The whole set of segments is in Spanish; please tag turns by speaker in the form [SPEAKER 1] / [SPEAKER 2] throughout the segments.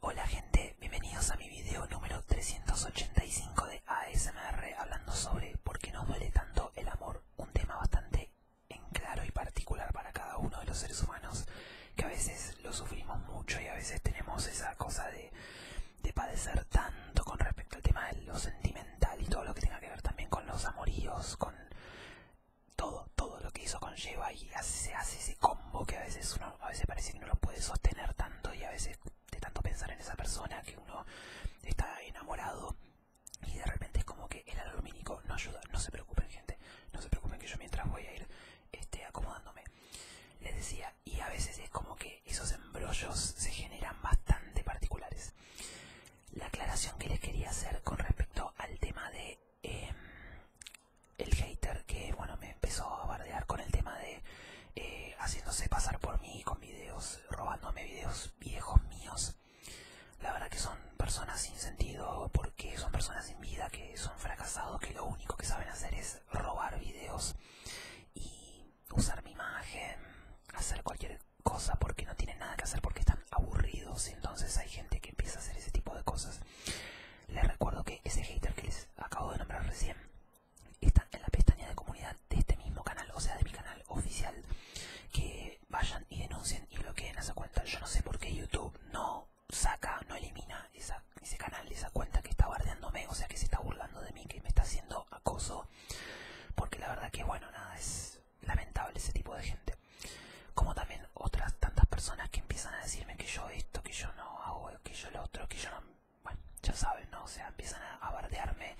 [SPEAKER 1] Hola gente, bienvenidos a mi video número 385 de ASMR hablando sobre por qué nos duele tanto el amor, un tema bastante en claro y particular para cada uno de los seres humanos que a veces lo sufrimos mucho y a veces tenemos esa cosa de, padecer tanto con respecto al tema de lo sentimental y todo lo que tenga que ver también con los amoríos, con todo, todo lo que hizo conlleva y hace, se hace ese combo que a veces uno a veces parece que no lo puede sostener tanto y a veces de tanto pensar en esa persona que uno está enamorado y de repente es como que el alumínico no ayuda, no se preocupen gente, no se preocupen que yo mientras voy a ir este, acomodándome. Les decía, y a veces es como que esos embrollos se generan bastante particulares. La aclaración que les quería hacer con respecto al tema de Em, el hater que bueno me empezó a bardear con el tema de eh, haciéndose pasar por mí con videos, robándome videos viejos míos. La verdad que son personas sin sentido porque son personas sin vida que son fracasados, que lo único que saben hacer es robar videos y usar mi imagen, hacer cualquier cosa porque no tienen nada que hacer porque están aburridos. Entonces hay gente que empieza a hacer ese tipo de cosas. Les recuerdo que ese hater que les acabo de nombrar recién está en la pestaña de comunidad de este mismo canal, o sea, de mi canal oficial. Que vayan y denuncien y bloqueen esa cuenta. Yo no sé por qué YouTube no saca, no elimina ese canal, esa cuenta que está bardeándome, o sea, que se está burlando de mí, que me está haciendo acoso. Porque la verdad que, bueno, nada, es lamentable ese tipo de gente como también otras tantas personas que empiezan a decirme que yo esto, que yo no hago, que yo lo otro, que yo no... Bueno, ya saben, ¿no? O sea, empiezan a, bardearme,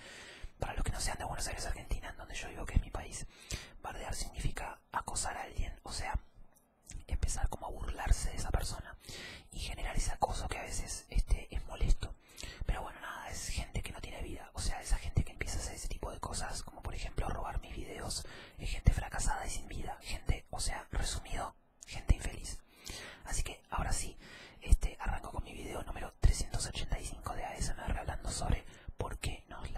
[SPEAKER 1] para los que no sean de Buenos Aires, Argentina, en donde yo vivo, que es mi país, bardear significa acosar a alguien, o sea, empezar como a burlarse de esa persona y generar ese acoso que a veces este, es molesto. Pero bueno, nada, es gente que no tiene vida, o sea, esa gente que empieza a hacer ese tipo de cosas, como por ejemplo robar mis videos, es gente fracasada y sin vida, gente, o sea, resumido gente infeliz. Así que ahora sí, este arranco con mi video número 385 de ASMR hablando sobre por qué nos,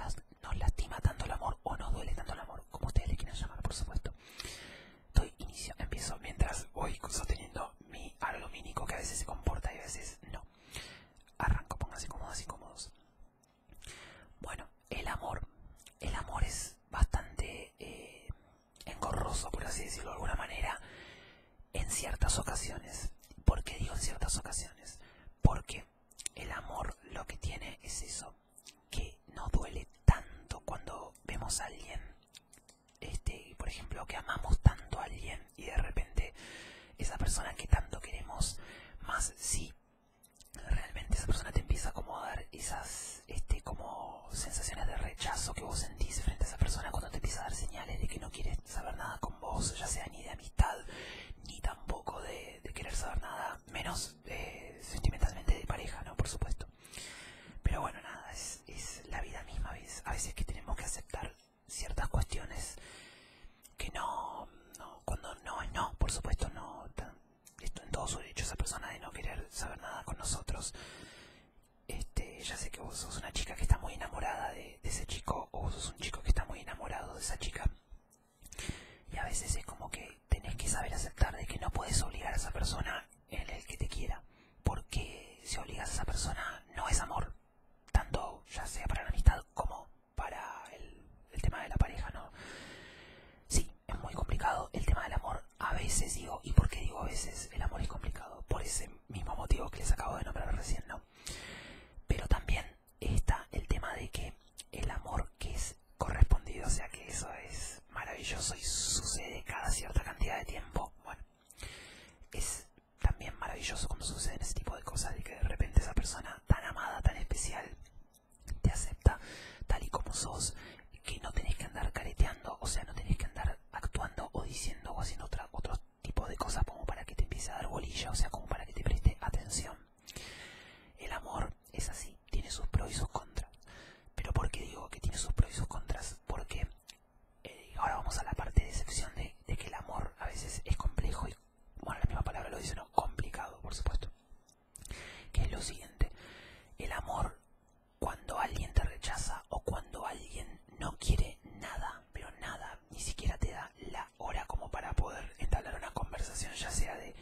[SPEAKER 1] nos lastima tanto el amor o nos duele tanto el amor, como ustedes le quieran llamar, por supuesto. empiezo mientras voy sosteniendo mi algo que a veces se comporta y a veces no. Arranco, pónganse cómodos y cómodos. Bueno, el amor. El amor es bastante eh, engorroso, por así decirlo de alguna manera, en ciertas ocasiones. porque digo en ciertas ocasiones? Porque el amor lo que tiene es eso, que no duele tanto cuando vemos a alguien, este, por ejemplo, que amamos tanto a alguien y de repente esa persona que tanto queremos, más sí realmente esa persona te empieza como a dar esas este, como sensaciones de rechazo que vos sentís frente a esa persona cuando te empieza a dar señales de que no quieres saber nada con vos, ya sea ni de amistad, ni tampoco de, querer saber nada, menos eh, sentimentalmente de pareja, ¿no? Por supuesto. Pero bueno, nada, es, la vida misma, a veces que tenemos que aceptar ciertas cuestiones que no, no cuando no es no, por supuesto, no, esto en todo su derecho esa persona de no querer saber nada con nosotros. Este, ya sé que vos sos una chica que está muy enamorada de, ese chico o vos sos un chico que está muy enamorado de esa chica. Y a veces es como que tenés que saber aceptar de que no puedes obligar a esa persona en el que te quiera. Porque si obligas a esa persona no es amor. Tanto ya sea para la amistad como para el, el tema de la pareja, ¿no? Sí, es muy complicado el tema del amor. A veces digo, ¿y porque digo a veces el amor es complicado? Por ese mismo motivo que les acabo de nombrar recién, ¿no? Pero también está el tema de que el amor que es correspondido, o sea que eso es maravilloso y sucede cada cierta cantidad de tiempo, bueno, es también maravilloso cuando sucede ese tipo de cosas, de que de repente esa persona tan amada, tan especial, te acepta tal y como sos, que no tenés que andar careteando, o sea, no tenés que andar actuando o diciendo o haciendo otra, otro tipo de cosas como para que te empiece a dar bolilla, o sea, como para que te preste atención. El amor es así, tiene sus pros y sus contras. Pero ¿por qué digo que tiene sus pros y sus contras? Porque eh, ahora vamos a la parte de excepción de, de que el amor a veces es complejo y, bueno, la misma palabra lo dice, ¿no? Complicado, por supuesto que es lo siguiente. El amor, cuando alguien te rechaza o cuando alguien no quiere nada, pero nada, ni siquiera te da la hora como para poder entablar una conversación, ya sea de,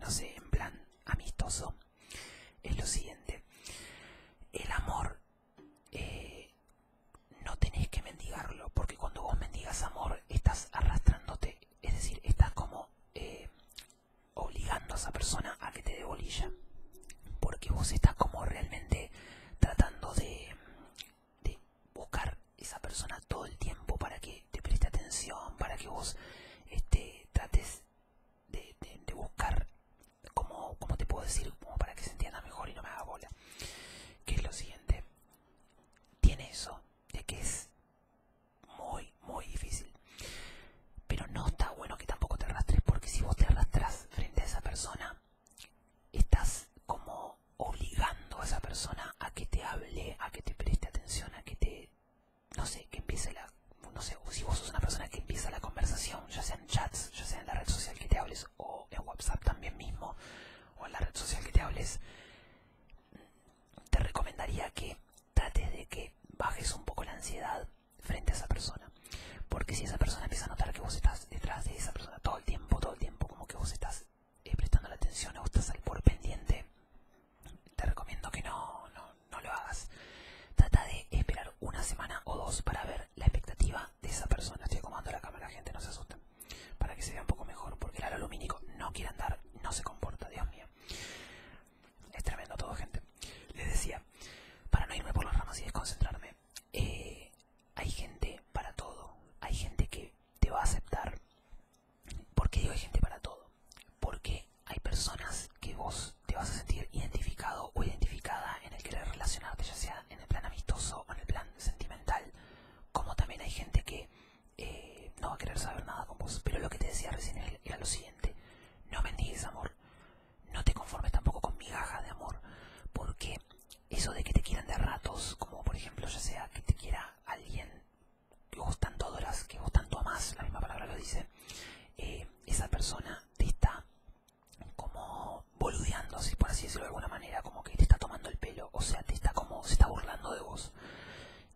[SPEAKER 1] no sé, en plan amistoso, es lo siguiente. El amor eh, no tenés que mendigarlo, porque cuando vos mendigas amor, estás arrastrándote, es decir, estás como eh, obligando a esa persona a que te dé bolilla. Porque vos estás como realmente tratando de, buscar esa persona todo el tiempo para que te preste atención, para que vos este, trates de, buscar, como, como te puedo decir, como para que se entienda mejor y no me haga bola. Que es lo siguiente. Tiene eso de que es muy, muy difícil. Pero no está bueno que tampoco te arrastres, porque si vos te arrastras frente a esa persona, estás como obligando a esa persona a que te hable, a que te preste atención, a que te. no sé, que empiece la. no sé, si vos sos una persona que empieza la conversación, ya sea en chats, ya sea en la red social que te hables, o en WhatsApp también mismo, o en la red social que te hables, te recomendaría que Trate de que bajes un poco la ansiedad frente a esa persona. Porque si esa persona empieza a notar que vos estás detrás de esa persona todo el tiempo, todo el tiempo, como que vos estás eh, prestando la atención o estás al por pendiente, te recomiendo que no, no, lo hagas. Trata de esperar una semana o dos para ver la expectativa de esa persona. Estoy acomodando la cámara, gente, no se asusten. Para que se vea un poco mejor, porque el alumínico no quiere andar, no se comporta, Dios mío. Es tremendo todo, gente. Les decía, para no irme por las ramas y desconcentrarme, eh, hay gente para todo. Hay gente que te va a aceptar. ¿Por qué digo hay gente para todo? Porque hay personas que vos te vas a sentir identificado o identificada en el querer relacionarte, ya sea en el plan amistoso o en el plan sentimental. Como también hay gente que eh, no va a querer saber nada con vos. Pero lo que te decía recién era lo siguiente. No bendigues amor. No te conformes tampoco con migajas de amor. Porque eso de que te quieran de ratos, como por ejemplo, ya sea que te quiera alguien que gustan tanto adoras, que vos tanto más la misma palabra lo dice, eh, esa persona te está como boludeando, si por así decirlo de alguna manera, como que te está tomando el pelo, o sea, te está como, se está burlando de vos.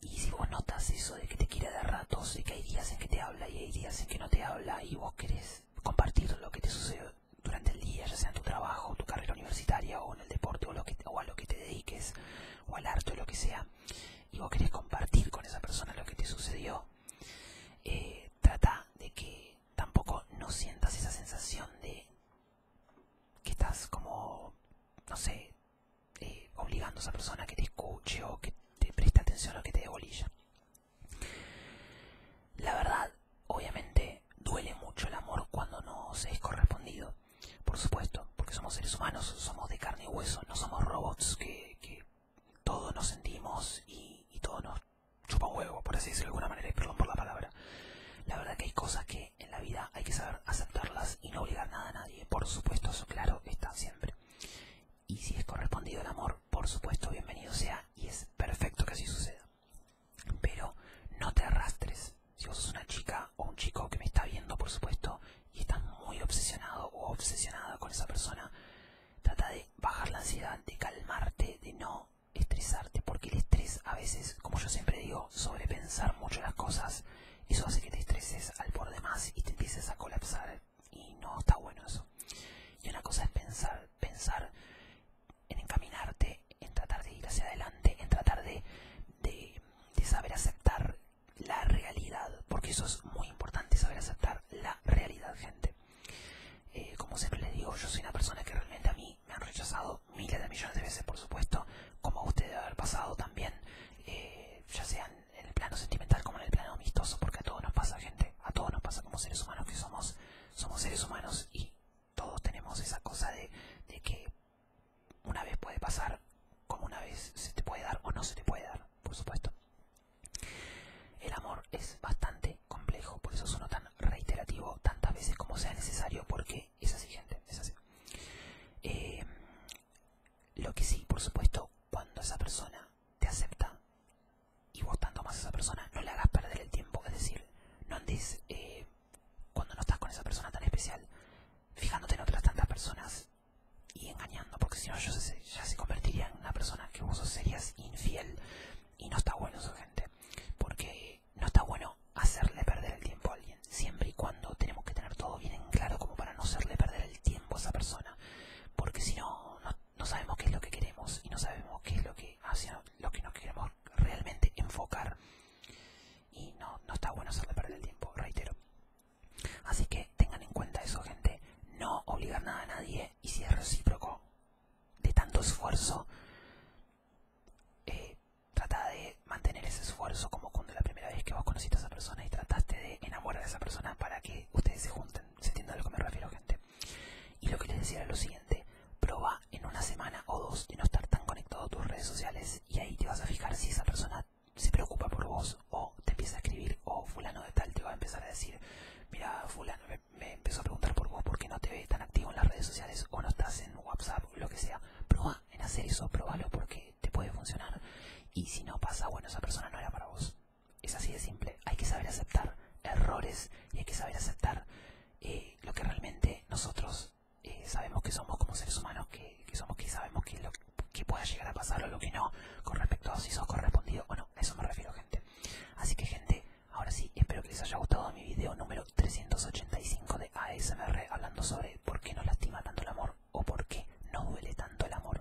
[SPEAKER 1] Y si vos notas eso de que te quiere dar ratos, de que hay días en que te habla y hay días en que no te habla y vos querés compartir lo que te sucedió durante el día, ya sea en tu trabajo, tu carrera universitaria o en el deporte o, lo que, o a lo que te dediques o al arte o lo que sea, y vos querés compartir con esa persona lo que te sucedió, eh, trata de que tampoco no sientas esa sensación de que estás como, no sé, eh, obligando a esa persona que te escuche o que te preste atención o que te debolilla La verdad, obviamente, duele mucho el amor cuando no se es correspondido. Por supuesto, porque somos seres humanos, somos de carne y hueso, no somos robots que, todos nos sentimos y, todo nos chupa huevo, por así decirlo de alguna manera, perdón por la palabra. La verdad que hay cosas que en la vida hay que saber aceptarlas y no obligar nada a nadie. Por supuesto, eso claro está siempre. Y si es correspondido el amor, por supuesto, bienvenido sea y es perfecto que así suceda. Pero no te arrastres. Si vos sos una chica o un chico que me está viendo, por supuesto, y estás muy obsesionado o obsesionada con esa persona, trata de bajar la ansiedad, de calmarte, de no estresarte, porque el estrés a veces, como yo siempre digo, sobrepensar mucho las cosas eso hace que te estreses al por demás y te empieces a colapsar y no está bueno eso. Y una cosa es pensar, pensar en encaminarte, en tratar de ir hacia adelante, en tratar de, de, saber aceptar la realidad, porque eso es muy importante, saber aceptar la realidad, gente. Eh, como siempre les digo, yo soy una persona que realmente a mí me han rechazado miles de millones de veces, por supuesto, como a usted debe haber pasado también, eh, ya sean en el plano sentimental como en el plano amistoso, porque a todos nos pasa, gente, a todos nos pasa como seres humanos que somos, somos seres humanos y todos tenemos esa cosa de, que una vez puede pasar, como una vez se te puede dar o no se te puede dar, por supuesto. El amor es bastante complejo, por eso suena tan reiterativo tantas veces como sea necesario, porque es así, gente, es así. Eh, lo que sí, por supuesto, cuando esa persona te acepta y vos tanto más a esa persona, no le hagas perder el tiempo. Es decir, no andes eh, cuando no estás con esa persona tan especial fijándote en otras tantas personas y engañando, porque si no, yo ya se convertiría en una persona que vos serías infiel y no está bueno eso, gente. Porque no está bueno hacerle perder el tiempo a alguien, siempre y cuando tenemos que tener todo bien en claro como para no hacerle perder el tiempo a esa persona porque si no, no, sabemos qué es lo que queremos y no sabemos qué es lo que, hacia lo que nos queremos realmente enfocar. Y no, está bueno hacerle perder el tiempo, reitero. Así que tengan en cuenta eso, gente. No obligar nada a nadie y si es recíproco de tanto esfuerzo, eh, trata de mantener ese esfuerzo como cuando la primera vez que vos conociste a esa persona y trataste de enamorar de esa persona para que ustedes se junten. ¿Se entiende a lo que me refiero, gente? Y lo que les decía era lo siguiente. Proba en una semana o dos de no estar tan conectado a tus redes sociales y ahí te vas a fijar si esa persona se preocupa por vos o te empieza a escribir o fulano de tal te va a empezar a decir, mira, fulano me, empezó a preguntar por vos porque no te ve tan activo en las redes sociales o no estás en WhatsApp, o lo que sea. Proba en hacer eso, probalo porque te, puede funcionar. Y si no pasa, bueno, esa persona no era para vos. Es así de simple. Hay que saber aceptar errores y hay que saber aceptar eh, lo que realmente nosotros eh, sabemos que somos como seres humanos, que, somos que sabemos que lo que pueda llegar a pasar o lo que no, con respecto a si sos correspondido bueno eso me refiero, gente. Así que, gente, ahora sí, espero que les haya gustado mi video número 385 de ASMR hablando sobre por qué nos lastima tanto el amor o por qué no duele tanto el amor.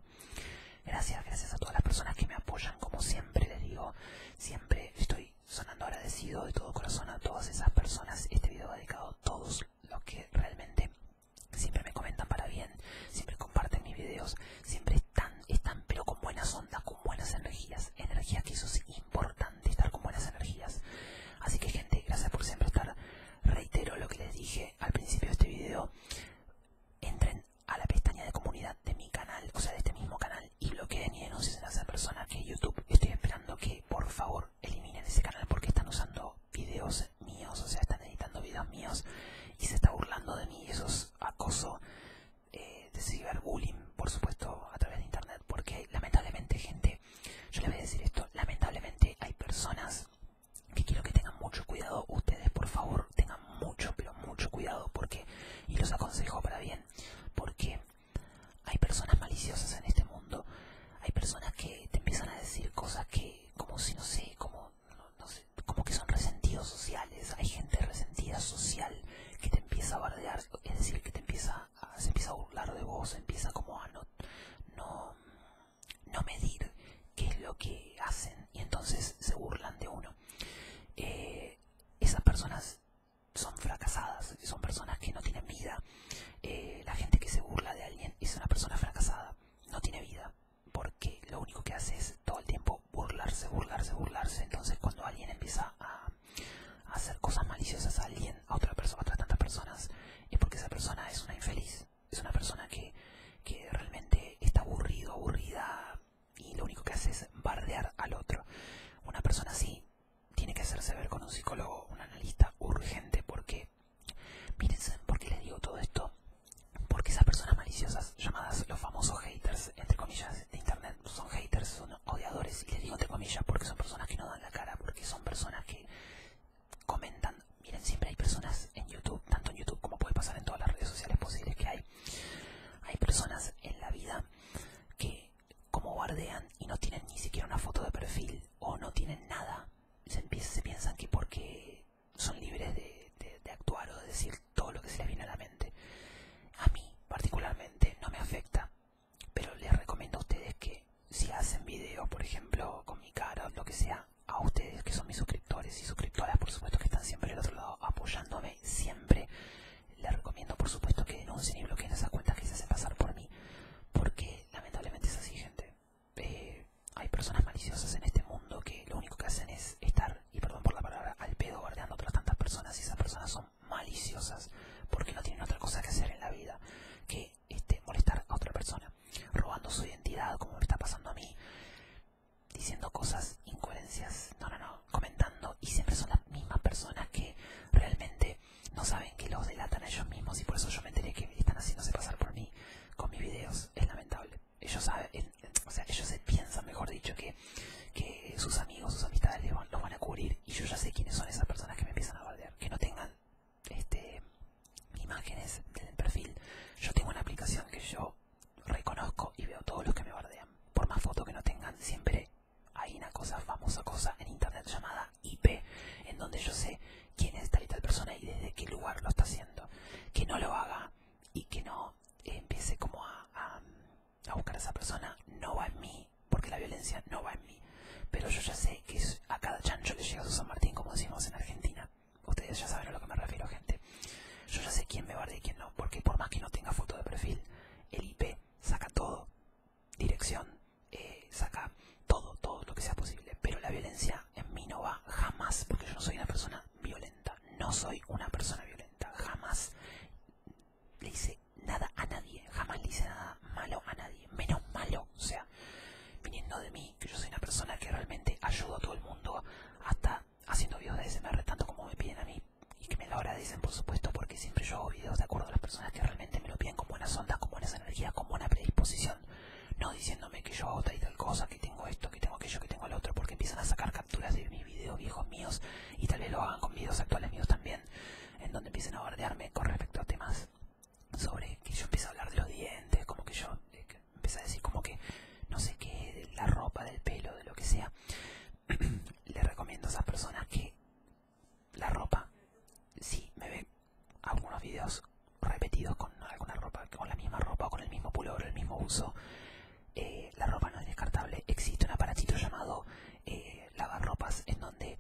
[SPEAKER 1] Gracias, gracias a todas las personas que me apoyan, como siempre les digo, siempre estoy sonando agradecido de todo corazón a todas esas personas. Este video dedicado a todos los que realmente siempre me comentan para bien, siempre comparten mis videos, siempre están, están pero con buenas ondas, con buenas energías, energía que eso es importante, estar con buenas energías. Así que gente, gracias por siempre estar. Reitero lo que les dije al principio de este video, entren a la pestaña de comunidad de mi canal, o sea, de este mismo canal, y bloqueen y denuncien a esa persona que YouTube estoy esperando que por favor eliminen ese canal porque están usando videos míos, o sea, están editando videos míos y se está burlando de mí. Eso es acoso eh, de ciberbullying, por supuesto, a través de internet, porque lamentablemente, gente, yo le voy a decir esto, lamentablemente hay personas que quiero que tengan mucho cuidado ustedes por favor tengan mucho pero mucho cuidado porque y los aconsejo para bien porque hay personas maliciosas en este mundo hay personas que te empiezan a decir cosas que como si no sé como sé como que son resentidos sociales hay gente resentida social que te empieza a bardear es decir que te empieza a, se empieza a burlar de vos empieza como a no no no medir qué es lo que hacen y entonces se burlan de uno. Eh, esas personas son fracasadas, son personas que no tienen vida. Eh, la gente que se burla de alguien es una persona fracasada, no tiene vida, porque lo único que hace es todo el tiempo burlarse, burlarse, burlarse. Entonces cuando alguien empieza a, hacer cosas maliciosas a alguien, a otra persona, a otras tantas personas, es porque esa persona es una infeliz es una persona que, que realmente está aburrido, aburrida y lo único que hace es bardear al otro. Una persona así tiene que hacerse ver con un psicólogo, un analista urgente, porque, miren, ¿por qué les digo todo esto? Porque esas personas maliciosas, llamadas los famosos haters, entre comillas, de internet, son haters, son odiadores, y les digo entre comillas porque son personas que no dan la cara, porque son personas que comentan. Miren, siempre hay personas en YouTube, tanto en YouTube como puede pasar en todas las redes sociales posibles que hay. Hay personas en la vida que como guardean y no tienen ni siquiera una foto de perfil o no tienen nada, se, piensan que porque son libres de, de actuar o de decir todo lo que se les viene a la mente. A mí particularmente no me afecta, pero les recomiendo a ustedes que si hacen videos, por ejemplo, con mi cara o lo que sea, a ustedes que son mis suscriptores y suscriptoras, por supuesto que están siempre del otro lado apoyándome, siempre les recomiendo por supuesto que denuncien ni bloqueen esas cuentas que se hacen pasar por mí, porque lamentablemente es así gente. Eh, hay personas maliciosas en este mundo que lo único que hacen es estar, y perdón por la palabra, al pedo guardeando otras tantas personas y esas personas son maliciosas porque no tienen otra cosa que hacer en la vida que este, molestar a otra persona, robando su identidad como me está pasando a mí, diciendo cosas, incoherencias, no, no, no, comentando y siempre son las mismas personas que realmente no saben que los delatan a ellos mismos y por eso yo me enteré que están haciéndose pasar por mí con mis videos, es lamentable. Ellos saben, o sea, ellos se piensan, mejor dicho, que, que sus amigos, sus amistades los van a cubrir y yo ya sé quiénes son esas personas que me empiezan a volver, que no tengan este imágenes del perfil. Yo tengo una aplicación que yo reconozco y veo todos los que me bardean. Por más fotos que no tengan, siempre hay una cosa, famosa cosa en internet llamada IP, en donde yo sé quién es tal y tal persona y desde qué lugar lo está haciendo. Que no lo haga y que no eh, empiece como a, buscar a esa persona no va en mí, porque la violencia no va en mí. Pero yo ya sé que a cada chancho le llega su San Martín, como decimos en Argentina. Ustedes ya saben a lo que me refiero, gente. Yo ya sé quién me guarda y quién no, porque por más que no tenga foto de perfil, el IP saca todo, dirección, eh, saca todo, todo lo que sea posible. Pero la violencia en mí no va jamás, porque yo no soy una persona violenta. No soy una persona violenta, jamás le hice nada a nadie, jamás le hice nada malo a nadie, menos malo, o sea, viniendo de mí, que yo soy una persona que realmente ayuda a todo el mundo, hasta haciendo videos de ASMR tanto como me piden a mí, y que me lo agradecen por supuesto, porque siempre yo hago videos de acuerdo a las personas que realmente me lo piden con buenas sonda, con buenas energía, con buena predisposición, no diciéndome que yo hago tal y tal cosa, que tengo esto, que tengo aquello, que tengo el otro, porque empiezan a sacar capturas de mis videos viejos míos, y tal vez lo hagan con videos actuales míos también, en donde empiezan a bardearme con respecto a temas sobre que yo empiezo a hablar de los dientes, como que yo eh, empecé a decir como que no sé qué, la ropa, del pelo, de lo que sea. Le recomiendo a esas personas que la ropa, si me ve algunos videos repetidos con alguna ropa, con la misma ropa, con el mismo pullover, el mismo uso, eh, la ropa no es descartable. Existe un aparatito llamado eh, lavar ropas en donde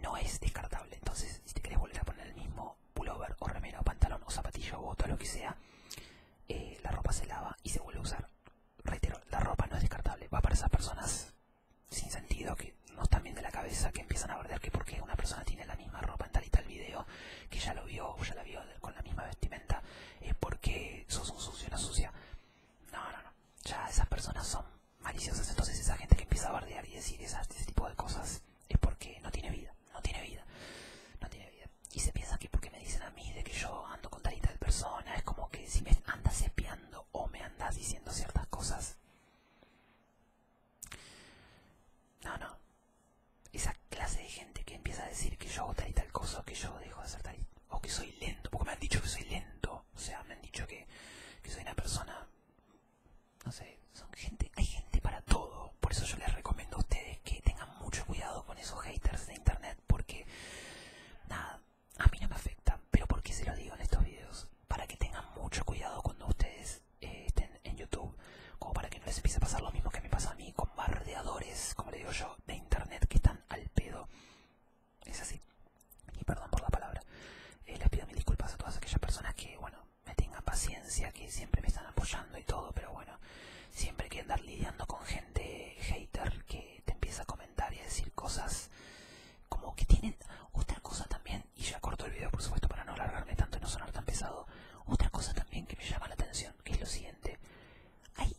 [SPEAKER 1] no es descartable. Entonces, si te querés volver a poner el mismo pullover o remera o pantalón o zapatillo o todo lo que sea, eh, la ropa se lava y se vuelve a usar. Reitero, la ropa no es descartable, va para esas personas sin sentido que no están bien de la cabeza, que empiezan a bardear que porque una persona tiene la misma ropa en tal y tal video, que ya lo vio o ya la vio con la misma vestimenta, es porque sos un sucio, una sucia. No, no, no, ya esas personas son maliciosas, entonces esa gente que empieza a bardear y decir ese tipo de cosas es porque no tiene vida no tiene vida, no tiene vida. Y se piensa que porque me dicen a mí de que yo ando con tal y tal persona, es como que si me andas espiando o me andas diciendo ciertas cosas. No, no. Esa clase de gente que empieza a decir que yo hago tal y tal cosa, que yo dejo de hacer tal o que soy lento, porque me han dicho que soy lento, o sea, me han dicho que, que soy una persona, no sé, son gente, hay gente para todo, por eso yo les recomiendo a ustedes que tengan mucho cuidado con esos haters de internet porque, nada, a mí no me afecta, Pero porque qué se lo digo en estos videos? Para que tengan mucho cuidado cuando ustedes eh, estén en YouTube, como para que no les empiece a pasar lo mismo que me pasa a mí con bardeadores, como le digo yo, de internet que están al pedo. Es así. Y perdón por la palabra. Eh, les pido mis disculpas a todas aquellas personas que, bueno, me tenga paciencia, que siempre me están apoyando y todo, pero bueno, siempre hay que andar lidiando con gente hater que te empieza a comentar y a decir cosas como que tienen otra cosa también, y ya corto el video por supuesto para no alargarme tanto y no sonar tan pesado, otra cosa también que me llama la atención, que es lo siguiente, hay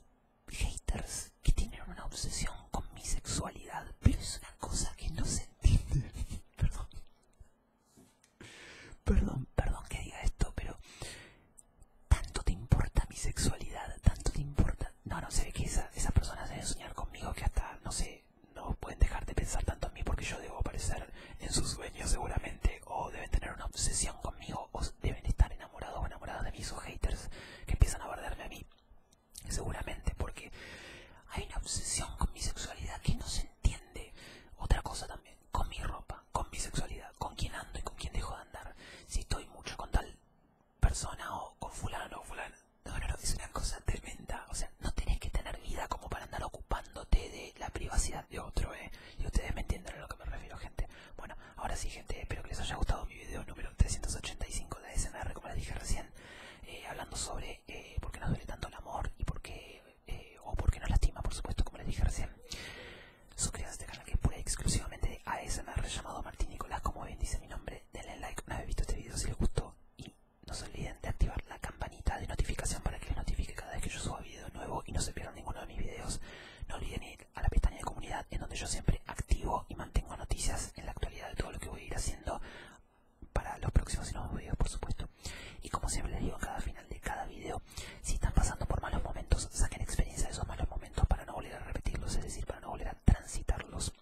[SPEAKER 1] haters que tienen una obsesión con mi sexualidad, pero es una cosa que no se entiende, perdón, Perdón, perdón que diga esto, pero tanto te importa mi sexualidad, tanto te importa. No, no sé que esa, esas personas deben soñar conmigo que hasta, no sé, no pueden dejar de pensar tanto en mí porque yo debo aparecer en sus sueños seguramente, o deben tener una obsesión conmigo, o deben estar enamorados o enamoradas de mí, haters que empiezan a perderme a mí. Seguramente, porque hay una obsesión con mi sexualidad que no se entiende. Otra cosa también, con mi ropa con mi sexualidad, con quién ando y con quién dejo de andar, si estoy mucho con tal persona o con fulano o fulana. No, no, no, es una cosa tremenda. O sea, no tenés que tener vida como para andar ocupándote de la privacidad de otro, ¿eh? Y ustedes me entienden a lo que me refiero, gente. Bueno, ahora sí, gente, espero que les haya gustado mi video número 385 de SNR, como les dije recién, eh, hablando sobre eh, por qué nos duele tanto el amor y por qué eh, o porque no lastima, por supuesto, como les dije recién. Suscríbanse a este canal que es pura y exclusivamente ASMR llamado Martín Nicolás, como bien dice mi nombre. Denle like una vez visto este video si les gustó y no se olviden de activar la campanita de notificación para que les notifique cada vez que yo suba video nuevo y no se pierdan ninguno de mis videos. No olviden ir a la pestaña de comunidad en donde yo siempre activo y mantengo noticias en la actualidad de todo lo que voy a ir haciendo para los próximos y nuevos videos, por supuesto. Y como siempre le digo a cada final de cada video, si están pasando por malos momentos, saquen experiencia de esos malos momentos para no volver a repetirlos, es decir, para no volver a transitarlos.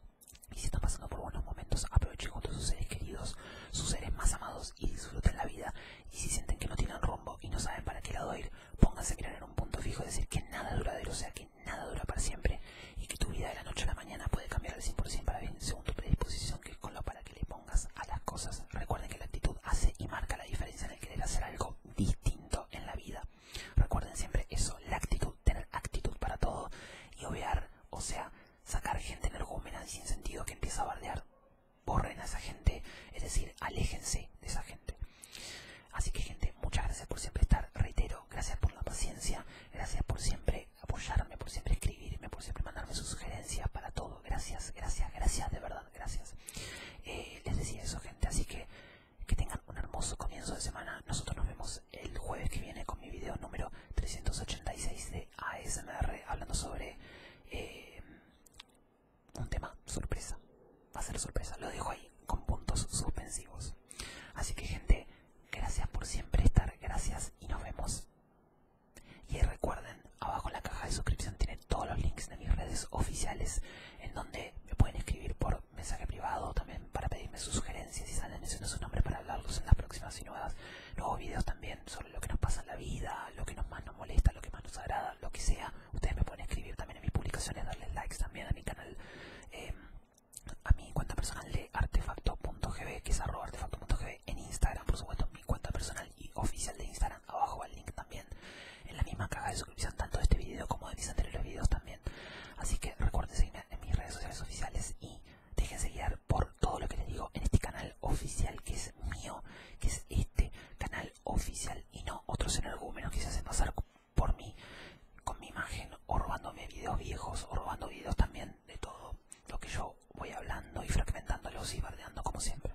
[SPEAKER 1] Y si están pasando por buenos momentos, aprovechen junto sus seres queridos, sus seres más amados y disfruten la vida. Y si sienten que no tienen rumbo y no saben para qué lado ir, pónganse a mirar en un punto fijo, decir, que nada es duradero, o sea, que nada dura para siempre y que tu vida de la noche a la mañana puede cambiar al 100% para bien según tu predisposición, que es con lo para le pongas a las cosas. Recuerden que la actitud hace y marca la diferencia en el querer hacer algo distinto en la vida. Recuerden siempre eso, la actitud, tener actitud para todo y obviar, o sea, sacar gente energúmena y sin sentido que empieza a bardear. Borren a esa gente, es decir, aléjense de esa gente. Así que gente, muchas gracias por siempre estar, reitero, gracias por la paciencia, gracias por siempre apoyarme, por siempre escribirme, por siempre mandarme sus sugerencias para todo. Gracias, gracias, gracias de verdad gracias. Eh, les decía eso, gente, así que que tengan un hermoso comienzo de semana. Nosotros nos vemos el jueves que viene con mi video número 386 de ASMR, hablando sobre eh, un tema sorpresa. Va a ser sorpresa, lo dejo ahí con puntos suspensivos. Así que, gente, gracias por siempre estar, gracias y nos vemos. Y recuerden, abajo en la caja de suscripción tienen todos los links de mis redes oficiales en donde me pueden escribir por mensaje privado también para pedirme sus sugerencias y salen sus nombres para hablarlos en las próximas y nuevas, nuevos videos también sobre lo que nos pasa en la vida, lo que nos más nos molesta, lo que más nos agrada, lo que sea. Ustedes me pueden escribir también en mis publicaciones, darle likes también a mi canal, em, a mi cuenta personal de artefacto.gb, que es arroba artefacto.gb en Instagram, por supuesto, mi cuenta personal y oficial de Instagram. Abajo va el link también en la misma caja de suscripción tanto de este video como de mis anteriores videos también. Así que recuerden seguirme en mis redes sociales oficiales y dejen seguir por todo lo que les digo en este canal oficial que es mío, que es este canal oficial y no otros energúmenos que se hacen pasar por mí con mi imagen o robándome videos viejos o robando videos también de todo lo que yo voy hablando y fragmentándolos y bardeando como siempre.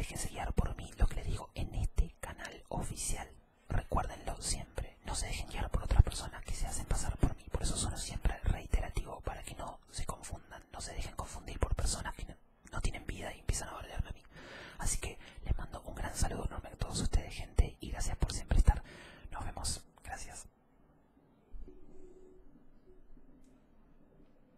[SPEAKER 1] Déjense guiar por mí lo que les digo en este canal oficial. Recuérdenlo siempre. No se dejen guiar por otras personas que se hacen pasar por mí. Por eso son siempre reiterativo para que no se confundan. No se dejen confundir por personas que no, tienen vida y empiezan a valerme a mí. Así que les mando un gran saludo enorme a todos ustedes, gente, y gracias por siempre estar. Nos vemos. Gracias.